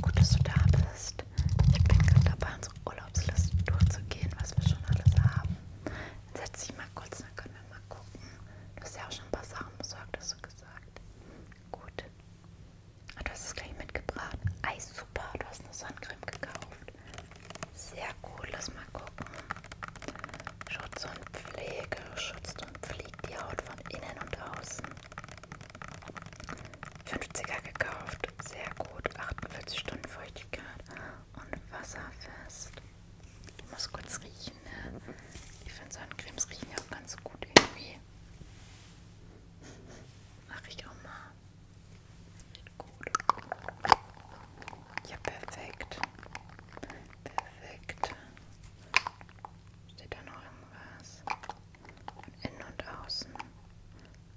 Gut, dass du da bist. Ich bin gerade dabei, unsere Urlaubsliste durchzugehen, was wir schon alles haben. Dann setz dich mal kurz, dann können wir mal gucken. Du hast ja auch schon ein paar Sachen besorgt, hast du gesagt. Gut. Ah, du hast es gleich mitgebracht. Eis, super. Du hast eine Sonnencreme gekauft. Sehr gut, lass mal gucken. Schutz und Pflege, Schutz und Pflege liegt die Haut von innen und außen. 50er gekauft, sehr gut, 48 Stunden Feuchtigkeit und wasserfest. Ich muss kurz riechen, ne? Ich finde Sonnencremes riechen ja auch ganz gut irgendwie. Mache ich auch mal. Gut. Ja, perfekt. Perfekt. Steht da noch irgendwas? Von innen und außen.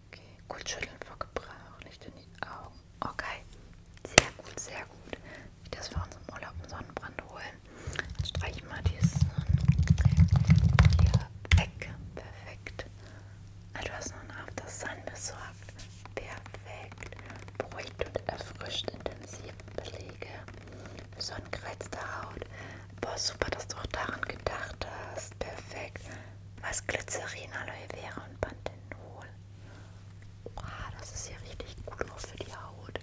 Okay, gut schütteln vor Gebrauch, nicht in die Augen. Okay, sehr gut, sehr gut. Ich das vor unserem Urlaub einen Sonnenbrand holen. Dann streiche ich mal dieses hier weg. Perfekt. Ah, du hast noch einen After Sun besorgt. Perfekt. Beruhigt und erfrischt intensiv beleben. Pflege, sonnengereizte Haut. Boah, super, dass du auch daran gedacht hast. Perfekt. Was Glycerin, Aloe Vera und Panthenol. Wow, das ist ja richtig gut auch für die Haut.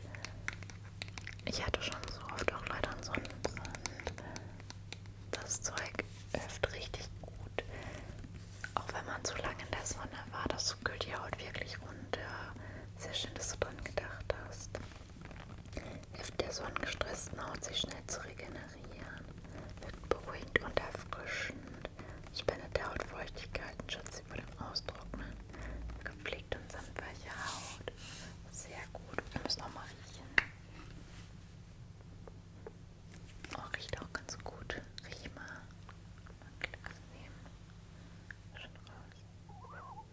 Ich hatte schon so oft auch leider einen Sonnenbrand. Das Zeug hilft richtig gut. Auch wenn man zu lange in der Sonne war, das kühlt die Haut wirklich runter. Sehr schön, dass du dran gedacht hast. Hilft der sonnengestressten Haut, sich schnell zu regenerieren. Wirkt beruhigend und erfrischend. Spendet der Haut Feuchtigkeit und schützt sie vor dem Austrocknen. Gepflegt und samtweiche Haut. Sehr gut. Wir müssen noch mal riechen. Oh, riecht auch ganz gut. Riech mal. Okay rausnehmen. Schon raus.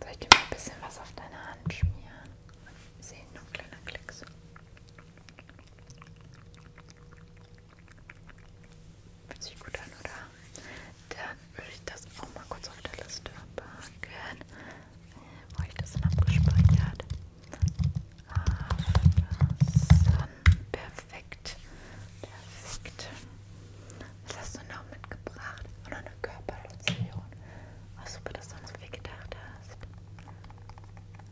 Soll ich dir mal ein bisschen was auf deine Hand schmieren? Wir sehen nur ein kleiner Klecks. Fühlt sich gut an, oder? Dann würde ich das auch mal kurz auf der Liste packen. Wo ich das denn abgespeichert? Aftersun. Perfekt. Perfekt. Was hast du noch mitgebracht? Oder eine Körperlotion. Oh, super, dass du an so viel gedacht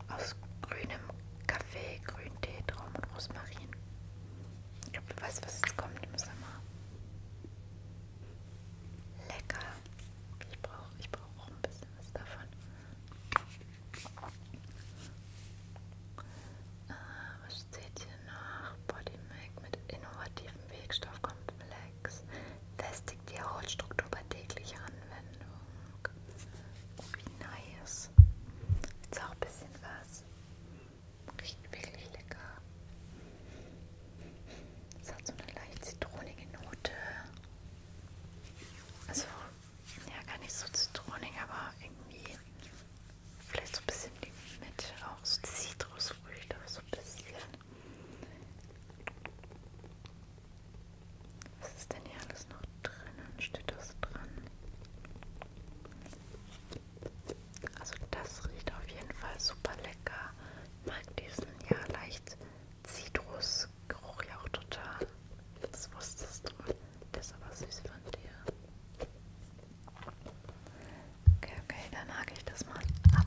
hast. Aus grünem Kaffee, Grüntee, Traum und Rosmarin. Ich glaube, du weißt, was jetzt kommt. Ich muss mal Lecker. Ich brauche ich brauch auch ein bisschen was davon. Äh, was steht hier noch? Body Make mit innovativem Wirkstoffkomplex. Festigt die Hautstruktur bei täglicher Anwendung. Oh, wie nice. Jetzt auch ein bisschen was. Riecht wirklich lecker. Es hat so eine leicht zitronige Note. Also, ja, gar nicht so zitronig, aber irgendwie vielleicht so ein bisschen die Mitte, auch so Zitrusfrüchte, so ein bisschen. Was ist denn hier alles noch drinnen? Steht das dran? Also das riecht auf jeden Fall super lecker. Ich mag diesen ja leicht Zitrusgeruch ja auch total. Das wusstest du. Das ist aber süß von dir. Okay, okay, dann hake ich das mal ab.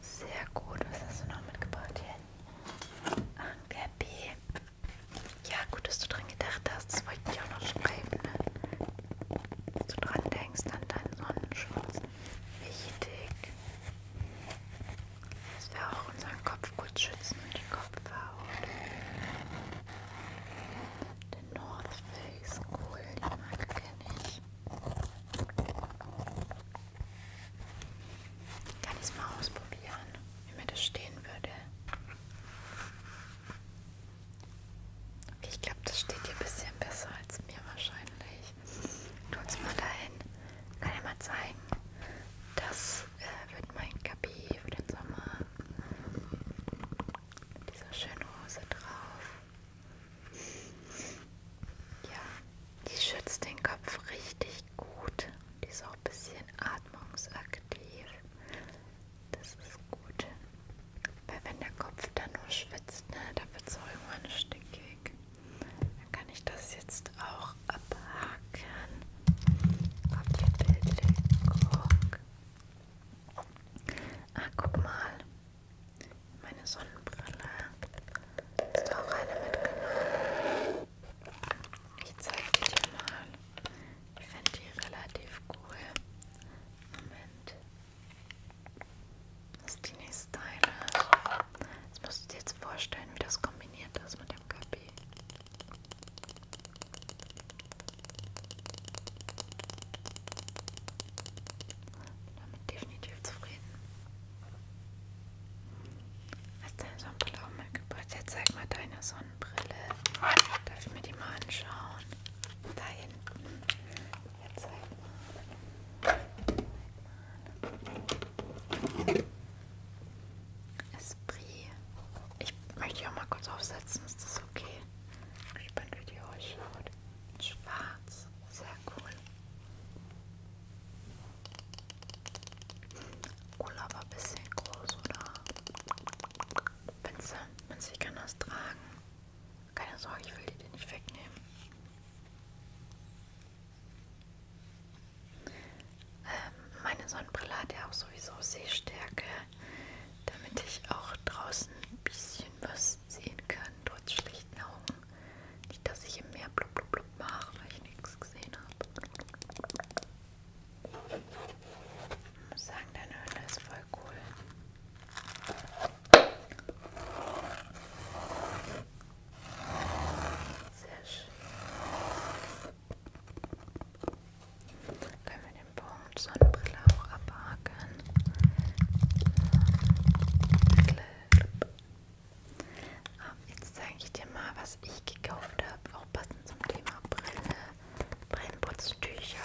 Sehr gut. Was hast du noch mitgebracht hier? Ein Käppi. Ja, gut, dass du dran gedacht hast. Das wollte ich auch noch schreiben, ne? Dass du dran denkst an deinen Sonnenschutz. Wichtig. Dass wir auch unseren Kopf gut schützen und die Kopfhaut. Den North Face, cool, die Marke kenne ich. Kann ich es mal ausprobieren? wenn mir das stehen würde. Okay, ich glaube, das steht dir ein bisschen besser als mir wahrscheinlich. Tut's mal dahin. Kann ich mal zeigen. Das äh, wird mein Kapi für den Sommer. Mit dieser schönen Hose drauf. Ja, die schützt den Kopf richtig echt gut. Die ist auch ein bisschen atmungsaktiv. Das ist gut. Weil wenn der Kopf dann nur schwitzt, ne, da wird es auch irgendwann stickig. Dann kann ich das jetzt auch abhaken. Kopfbildlich, guck. Ah, guck mal. Meine Sonnenbrille. Ist auch eine mitgenommen. Ich zeige die dir mal. Ich finde die relativ cool. Moment. Das ist die nächste Teile. Jetzt musst du dir jetzt vorstellen, wie das kombiniert ist mit dem Köppi. Damit definitiv zufrieden. Hast deine Sonnenbrille auch mitgebracht? Jetzt zeig mal deine Sonnenbrille. Darf ich mir die mal anschauen? Da hinten. Jetzt zeig mal. Zeig mal. Esprit. Ich möchte die auch mal kurz aufsetzen. Ist das okay? Ich bin wie die ausschaut. Schwarz. Sehr cool. Cola war ein bisschen groß, oder? Pinsel, Minze, ich kann das tragen. Keine Sorge, ich will die dir nicht wegnehmen. Ähm, meine Sonnenbrille hat ja auch sowieso Sehstärke, damit ich auch draußen ein bisschen was sehen kann, trotz schlichten Augen. Nicht, dass ich im Meer blub blub blub mache, weil ich nichts gesehen habe. Ich muss sagen, deine Höhle ist voll cool. Sehr schön. Können wir den Baum und Sonnenbrille auch abhaken? So. Klipp, klipp, klipp, ähm, jetzt zeige ich dir mal, was ich gekauft habe, auch passend zum Thema Brille, Brillenputztücher.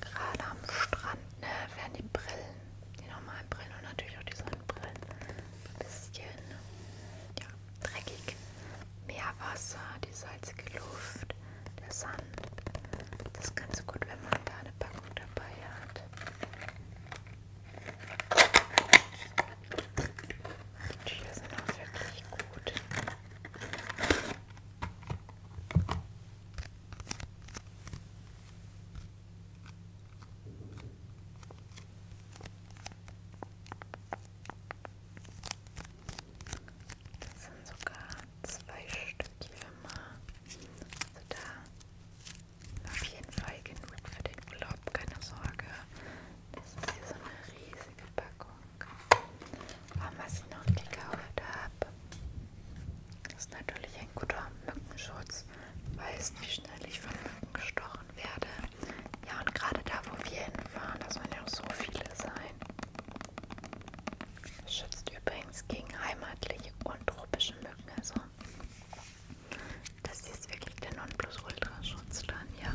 Gerade am Strand ne, werden die Brillen, die normalen Brillen und natürlich auch die Sonnenbrillen, ein bisschen ja, dreckig. Meerwasser, die salzige Luft, der Sand. Das ist ganz gut, wenn man da eine Packung dabei hat. Die Tücher sind auch wirklich gut. Das sind sogar zwei Stück hier mal. Also da auf jeden Fall genug für den Urlaub, keine Sorge. Das ist hier so eine riesige Packung. Aber was ich noch gekauft habe, ist natürlich ein guter Mückenschutz. Weiß nicht, wie schnell ich von Mücken gestochen werde. Ja, und gerade da, wo wir hinfahren, das sollen ja auch so viele sein. Schützt übrigens gegen heimatliche und tropische Mücken. Also, das hier ist wirklich der Nonplusultra-Schutz dran, ja.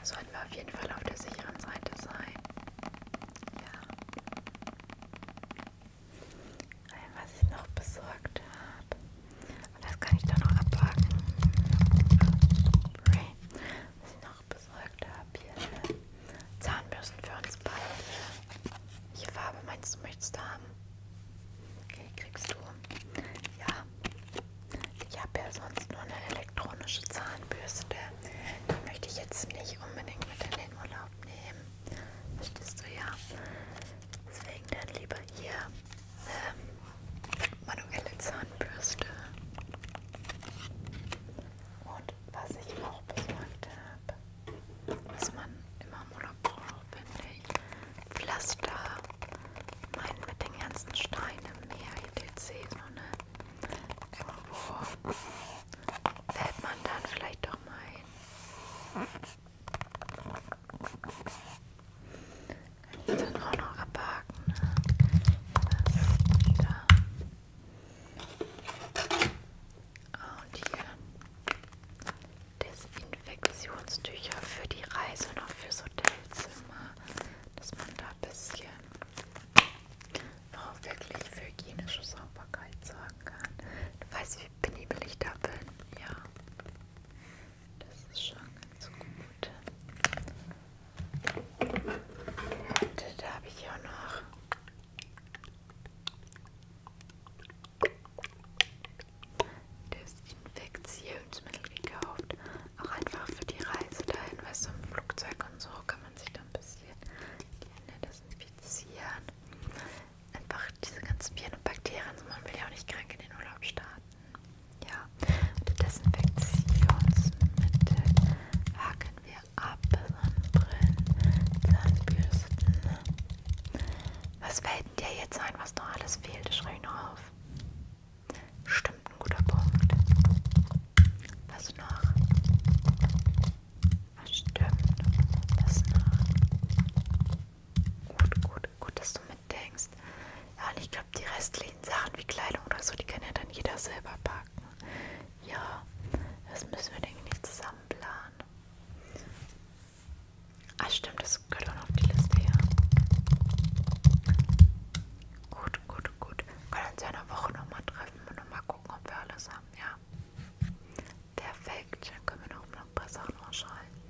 Da sollten wir auf jeden Fall auf der sicheren Seite sein. Ja. Was ich noch besorgt habe. Und das kann ich dann noch abhaken. Was ich noch noch besorgt habe. Hier Zahnbürsten für uns beide. Welche Farbe meinst du, möchtest du haben? Okay, kriegst du. Ja. Ich habe ja sonst nur eine elektronische Zahnbürste. Die möchte ich jetzt nicht unbedingt mit in den Urlaub nehmen. Verstehst du ja? Deswegen dann lieber hier eine ähm, manuelle Zahnbürste. Und was ich auch besorgt habe, was man immer im Urlaub braucht, finde ich, Pflaster. Mein mit den ganzen Steinen im Meer, etc. So, ne? Irgendwo fällt man dann vielleicht doch mal hin. Kann ich dann auch noch abhaken. Ne? Das da. Und hier Desinfektionstücher für die Reise und auch fürs Hotelzimmer, dass man da ein bisschen auch wirklich für hygienische Sauberkeit sorgen kann. Du weißt, wie penibel ich da bin. Ja, das ist schon ganz gut. Das da habe ich ja noch. Desinfektionsmittel gekauft. Auch einfach für die Reise dahin, weißt du, im Flugzeug und so kann man sich dann ein bisschen die Hände desinfizieren. Einfach diese ganzen Viren und Bakterien, so man will ja auch nicht krank in den Urlaub starten. Ja, mit Desinfektionsmittel haken wir ab Sonnenbrillen, Zahnbürsten. Was fällt denn dir jetzt ein, was noch alles fehlt? Schreibe ich noch auf. Stimmt, ein guter Punkt. Was noch? Was stimmt? Was noch? Gut, gut, gut, dass du mitdenkst. Ja, und ich glaube, die restlichen Sachen wie Kleidung oder so, die kann ja dann jeder selber packen. Ja, das müssen wir, denke ich, nicht zusammen planen. Ah, stimmt, das gehört auch noch auf die Liste, ja. Gut, gut, gut. Wir können uns ja in der Woche nochmal treffen und nochmal gucken, ob wir alles haben, ja. Perfekt, dann können wir noch ein paar Sachen ausschalten.